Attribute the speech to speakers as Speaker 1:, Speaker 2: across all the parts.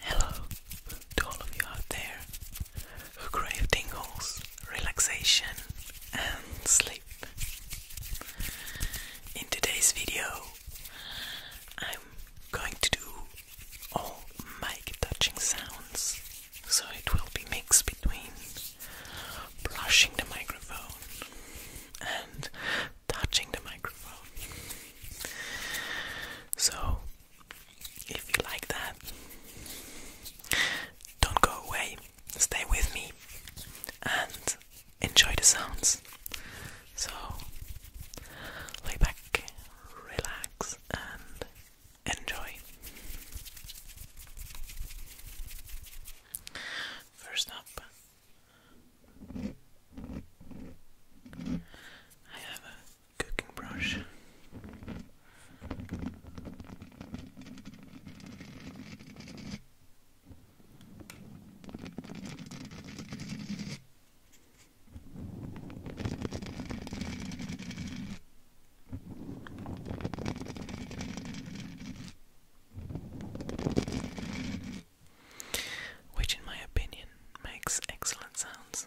Speaker 1: Hello to all of you out there who crave tingles, relaxation, and sleep. In today's video, I'm going to do all my touching sounds, so it will be mixed between brushing the microphone and touching the microphone. So, if you like that, don't go away, stay with me and enjoy the sounds. So, lay back, relax, and Enjoy! First up, I have a cooking brush. Which, in my opinion, makes excellent sounds.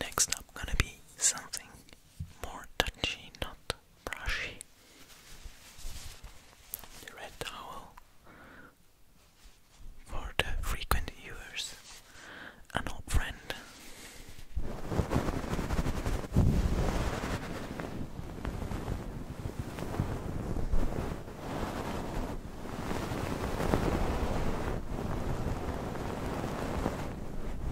Speaker 1: Next up, gonna be something more touchy, not brushy. The red towel for the frequent viewers, an old friend.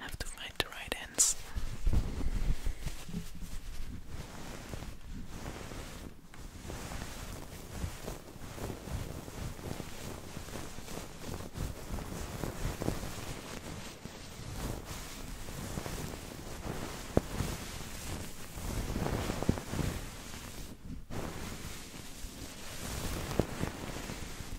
Speaker 1: have to find the right ends.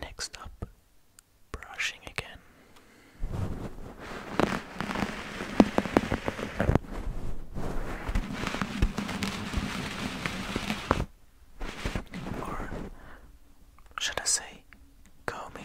Speaker 1: Next up, brushing again. Or should I say combing.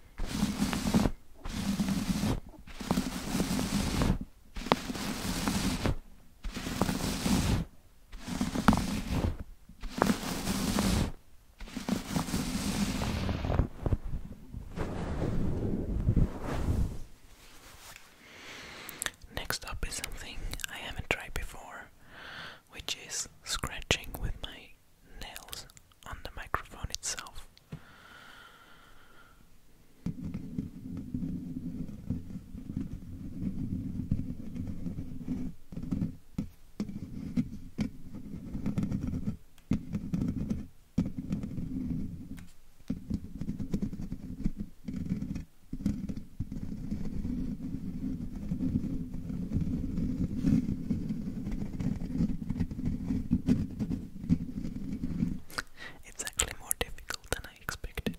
Speaker 1: Next up is something I haven't tried before, which is scratching with my nails on the microphone itself. It's actually more difficult than I expected.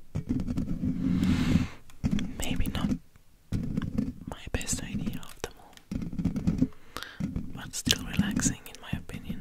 Speaker 1: Maybe not my best idea of all, but still relaxing in my opinion.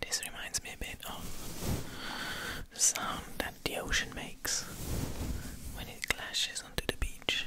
Speaker 1: This reminds me a bit of the sound that the ocean makes when it clashes onto the beach.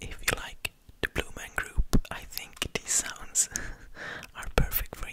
Speaker 1: If you like the Blue Man Group, I think these sounds are perfect for you.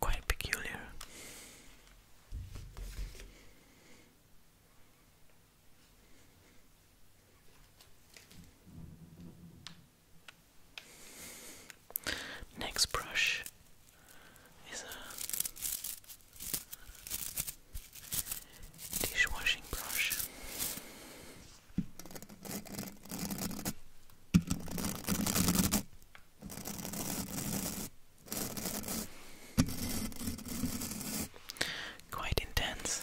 Speaker 1: Quite peculiar. Next brush is a dishwashing brush. Quite intense.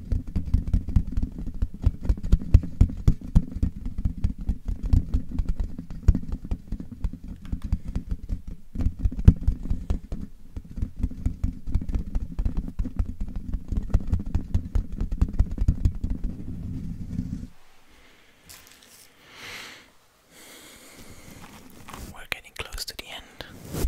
Speaker 1: We're getting close to the end.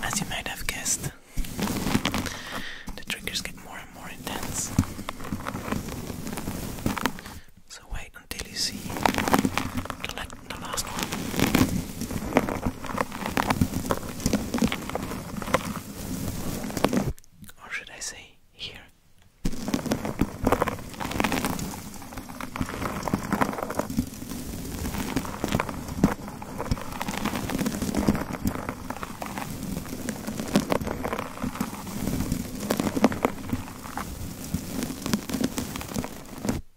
Speaker 1: As you might have guessed, the triggers get more and more intense. So wait until you see the, last one. Or should I say here?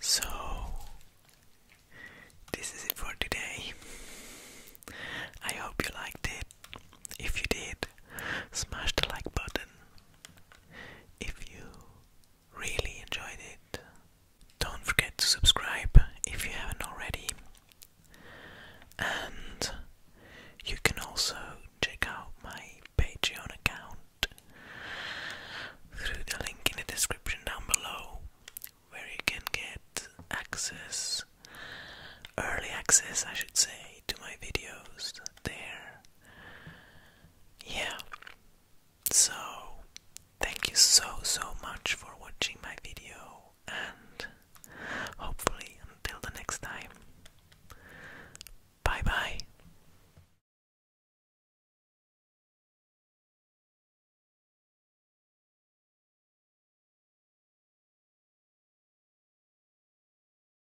Speaker 1: So, this is it for today. I hope you liked it. If you did, smash the like button if you really enjoyed it, don't forget to subscribe if you haven't already. And you can also check out my Patreon account through the link in the description down below, where you can get access, early access, I should say, to my videos there yeah. So, thank you so so much for watching my video, and hopefully, until the next time, bye bye.